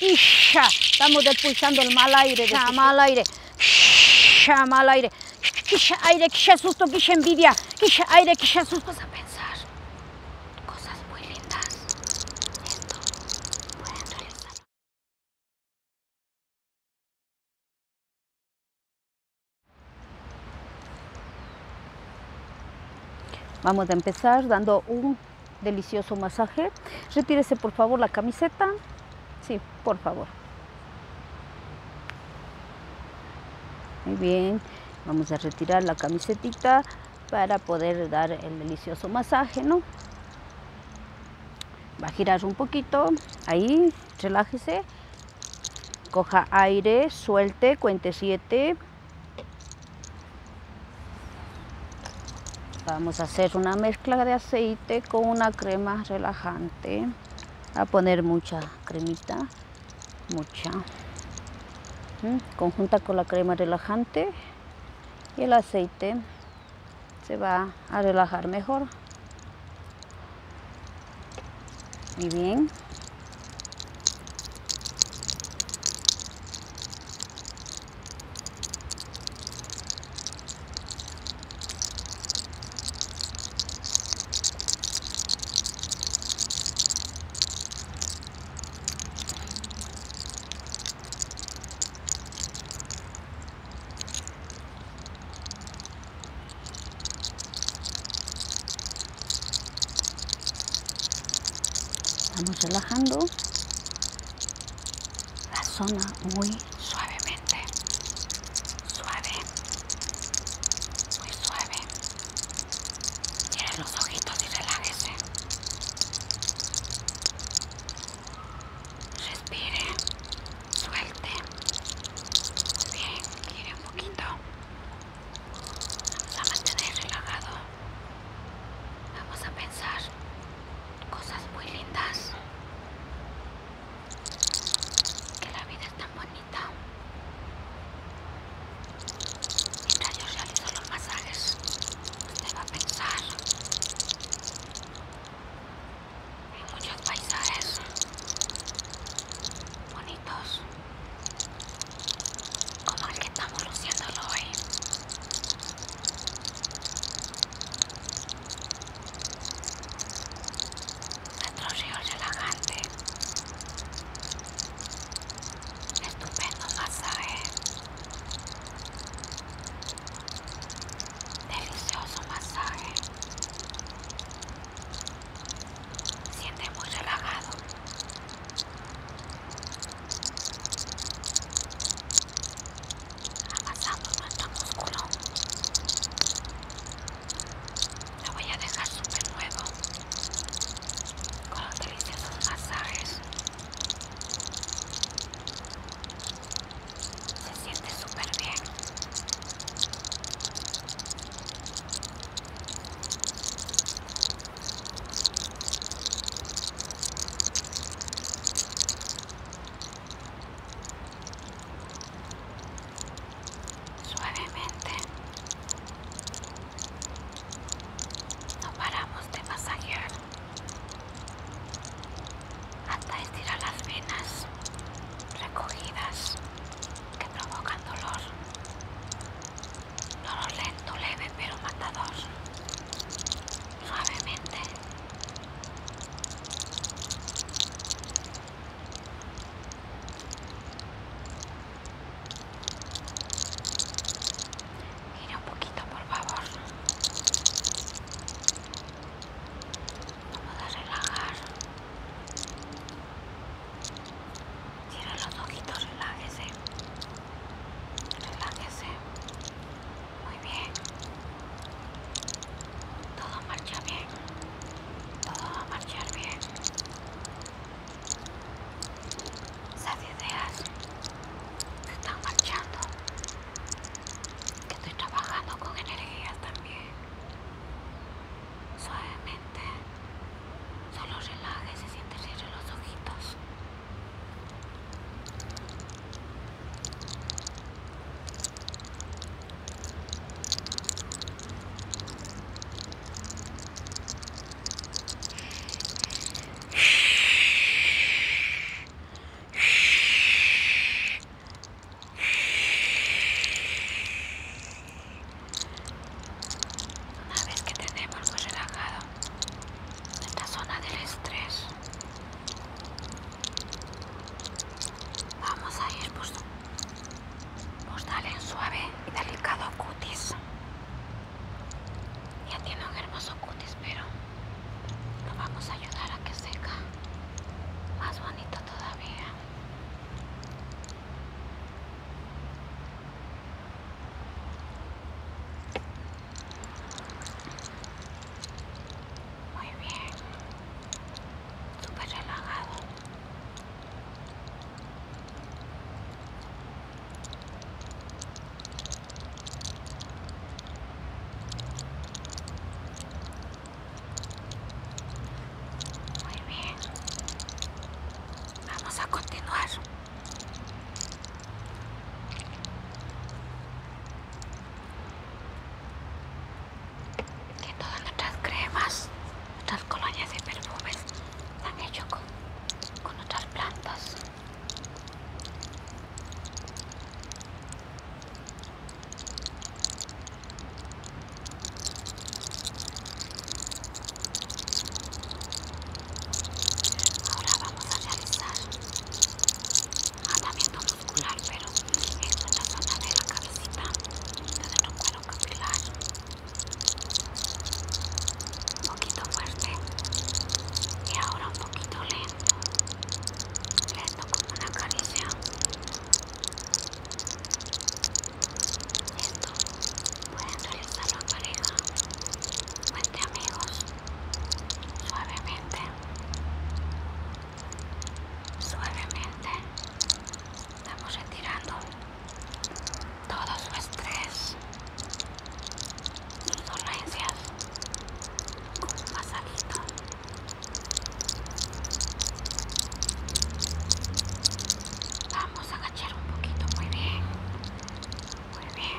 Isha. Estamos expulsando el mal aire. De mal aire. Isha, mal aire. Quisha aire, quisha susto, quisha envidia. Quisha aire, quisha susto. Vamos a pensar cosas muy lindas. Esto pueden realizar. Vamos a empezar dando un Delicioso masaje. Retírese por favor la camiseta. Sí, por favor. Muy bien. Vamos a retirar la camiseta para poder dar el delicioso masaje, ¿no? Va a girar un poquito. Ahí, relájese. Coja aire, suelte, cuente 7, Vamos a hacer una mezcla de aceite con una crema relajante. A poner mucha cremita, mucha. Conjunta con la crema relajante y el aceite se va a relajar mejor. Muy bien estamos relajando la zona muy suavemente. Suave. Muy suave. Cierre los ojitos y relájese. Respire. Suelte. Muy bien, gire un poquito. Vamos a mantener relajado. Vamos a pensar cosas muy lindas. Que la vida es tan bonita. Mientras yo realizo los masajes, usted va a pensar en muchos paisajes bonitos como el que estamos luciéndolo hoy. Nuestro río relajante. Estupendo masaje. Delicioso masaje. Siente muy relajado amasando nuestro musculo La voy a dejar súper nuevo con los deliciosos masajes se siente súper bien Suavemente no paramos de masajear hasta estirar las venas recogidas que provocan dolor. Dolor lento, leve pero matador suavemente gira un poquito por favor vamos a relajar cierra los ojitos relájese relájese, muy bien, todo marcha bien, todo va a marchar bien. Esas ideas que están marchando, que estoy trabajando con energía también. Suavemente, solo relájese, siéntese los ojitos. Una vez que tenemos relajado esta zona del estrés vamos a ir por pues en pues, suave y delicado cutis ya tiene un hermoso cutis pero lo vamos a ayudar a que seca más bonito todavía muy bien. Súper relajado. Muy bien. Vamos a continuar que todas nuestras cremas, nuestras colonias de perfumes están han con, con plantas. Ahora vamos a realizar andamiento muscular, pero esto es la zona de la cabecita, de no cuero capilar. Un poquito fuerte y ahora un poquito lento, lento como una caricia. Esto pueden realizarlo a pareja o amigos, suavemente, suavemente, estamos retirando todo su estrés, sus dolencias con un Vamos a agachar un poquito, muy bien, muy bien.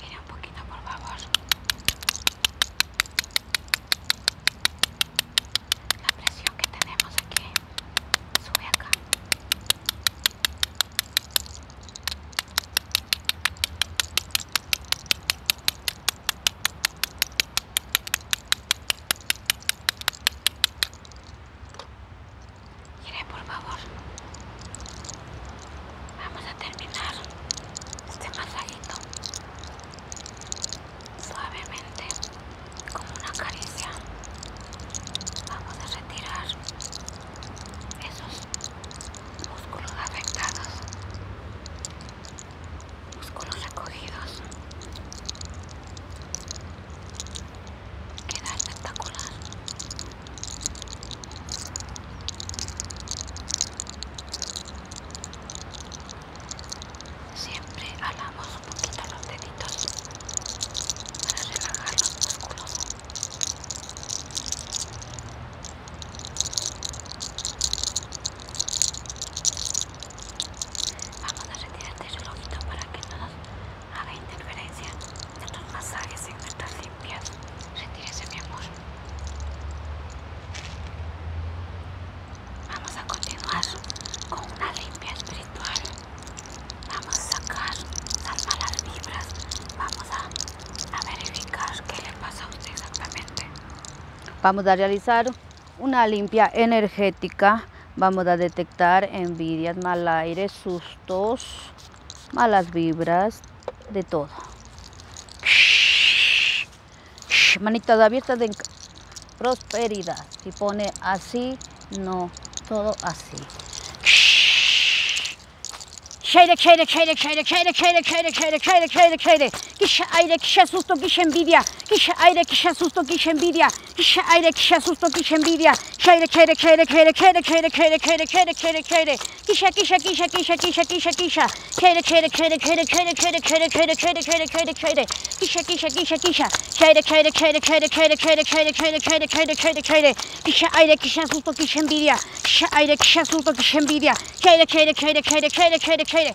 Mira un poquito, por favor. La presión que tenemos aquí sube acá. Mire, por favor. Vamos a terminar este masajito suavemente, como una caricia. Vamos a retirar esos músculos afectados músculos acogidos Queda espectacular. Siempre alamos un poquito los deditos para relajar los músculos. Vamos a retirar este relojito para que no nos haga interferencia de tus masajes en nuestras limpias. Retírese, mi amor. Vamos a continuar con una limpia espiritual. Vamos a sacar las malas vibras. Vamos a, a verificar qué le pasa a usted exactamente. Vamos a realizar una limpia energética. Vamos a detectar envidias, mal aire, sustos, malas vibras, de todo. Manitas abiertas de prosperidad. Si pone así, no, todo así. kisha aire kisha susto kisha envidia kisha aire kisha susto kisha envidia kisha aire kisha susto kisha envidia chere chere chere chere chere chere chere chere chere chere chere kisha kisha kisha kisha kisha kisha kisha chere chere chere chere chere chere chere chere chere chere chere chere kisha kisha kisha kisha chere chere chere chere chere chere chere chere chere chere chere chere kisha aire kisha susto kisha envidia kisha aire kisha susto kisha envidia chere chere chere chere chere chere chere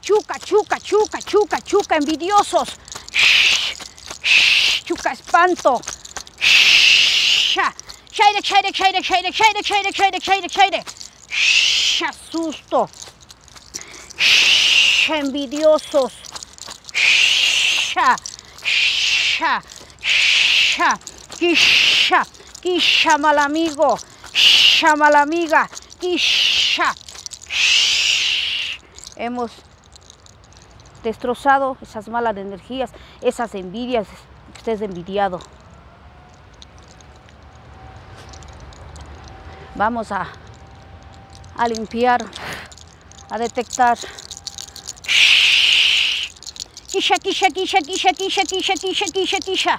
Chuca, chuca, chuca, chuca, chuca, envidiosos. Chuca, espanto. Shaire, shaire, shaire, Envidiosos. Sha, sha, sha, quisha, mal amigo. Llama la amiga. quisha Hemos destrozado esas malas energías, esas envidias. Usted es envidiado. Vamos a, a limpiar, a detectar. Kisha, kisha, kisha, kisha, kisha, kisha, kisha, kisha, kisha.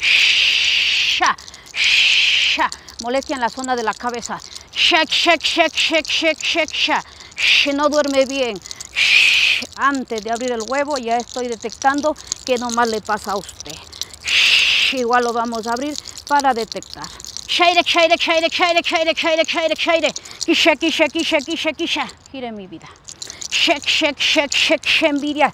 Shh, Sha, sha. Molestia en la zona de la cabeza. Shake, shake, shake, shake, shake, shake, shake. Sh, no duerme bien. Shh, antes de abrir el huevo ya estoy detectando que nomás le pasa a usted. Sh, igual lo vamos a abrir para detectar. Shake, shake, shake, shake, shake, shake, shake, shake. Kisha, kisha, kisha, kisha, kisha. Gire mi vida. Shake, shake, shake, shake, envidia.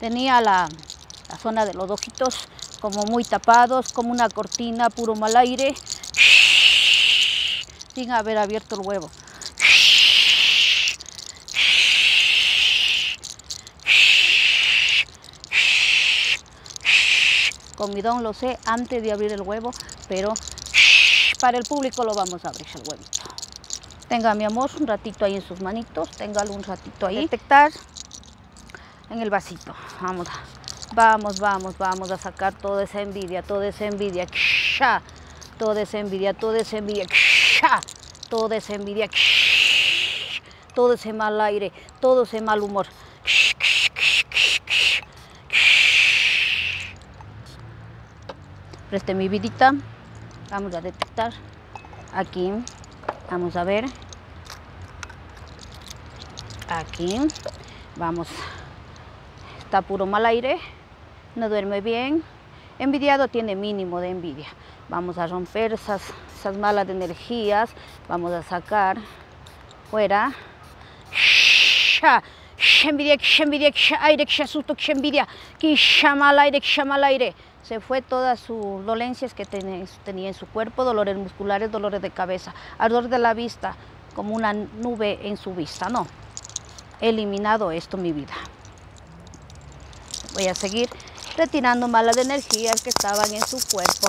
tenía la, zona de los ojitos como muy tapados, como una cortina, puro mal aire, sin haber abierto el huevo. Comidón lo sé antes de abrir el huevo, pero para el público lo vamos a abrir el huevito. Tenga mi amor un ratito ahí en sus manitos, tenga un ratito ahí. Detectar en el vasito. Vamos, vamos, vamos, vamos a sacar toda esa envidia, toda esa envidia. Toda esa envidia, toda esa envidia. Toda esa envidia. Todo ese mal aire, todo ese mal humor preste mi vidita. Vamos a detectar. Aquí. Vamos a ver. Aquí. Vamos. Está puro mal aire. No duerme bien. Envidiado tiene mínimo de envidia. Vamos a romper esas, malas energías. Vamos a sacar fuera. Envidia, envidia aire, al aire. Se fue todas sus dolencias que tenía en su cuerpo, dolores musculares, dolores de cabeza, ardor de la vista, como una nube en su vista, no. eliminado esto mi vida. Voy a seguir retirando malas energías que estaban en su cuerpo.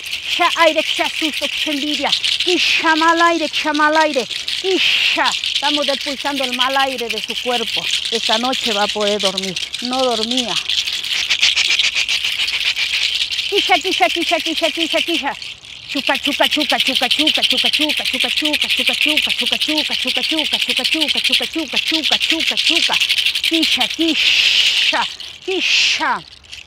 aire, aire, susto, envidia, mal aire, mal aire, Estamos despulsando el mal aire de su cuerpo. Esta noche va a poder dormir. No dormía. Chupa, chupa, chupa, chupa, chupa, chupa, chupa, chupa, chupa, chupa, chupa, chupa, chupa, chupa, chupa, chupa, chupa, chupa, chupa,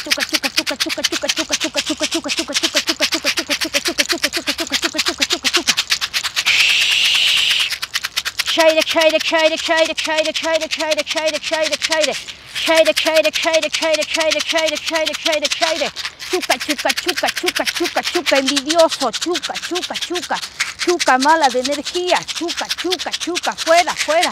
Chupa Chupa Chupa chuca, chuca, chuka envidioso, chuca, chuka chuca, chuca, mala de energía, chupa chuca, chupa fuera, fuera.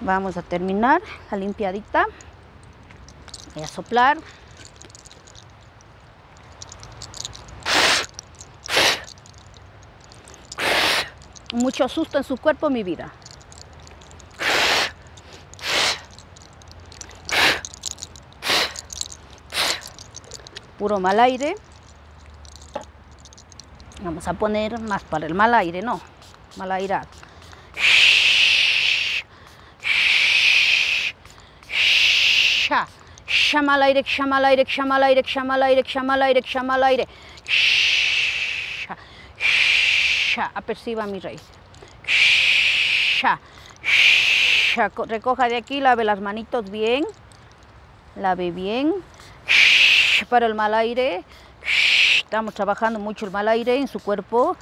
Vamos a terminar la limpiadita. Voy a soplar. Mucho susto en su cuerpo, mi vida. Puro mal aire. Vamos a poner más para el mal aire, ¿no? al aire, aire, al aire, क्षमालाई al aire, aire, al aire, al aire. aperciba mi raíz. Recoja de aquí, lave las manitos bien, lave bien, para el mal aire. Estamos trabajando mucho el mal aire en su cuerpo.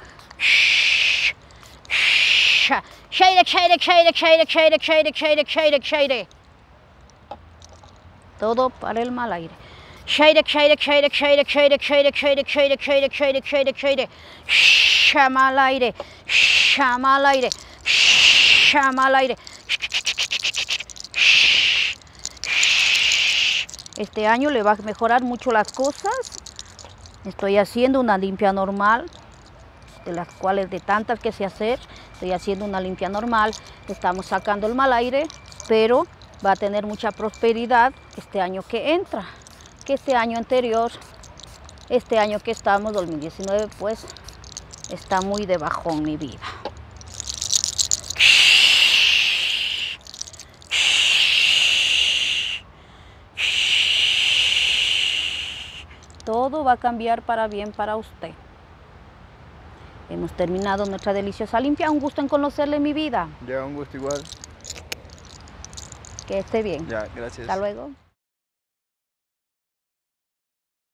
Todo para el mal aire. Llama al aire. al aire. al aire. Este año le va a mejorar mucho las cosas. Estoy haciendo una limpia normal, de las cuales de tantas que se hacer, estoy haciendo una limpia normal, estamos sacando el mal aire, pero va a tener mucha prosperidad este año que entra, que este año anterior, este año que estamos, 2019, pues está muy de en mi vida. Todo va a cambiar para bien para usted. Hemos terminado nuestra deliciosa limpia. Un gusto en conocerle mi vida. Ya, un gusto igual. Que esté bien. Ya, gracias. Hasta luego.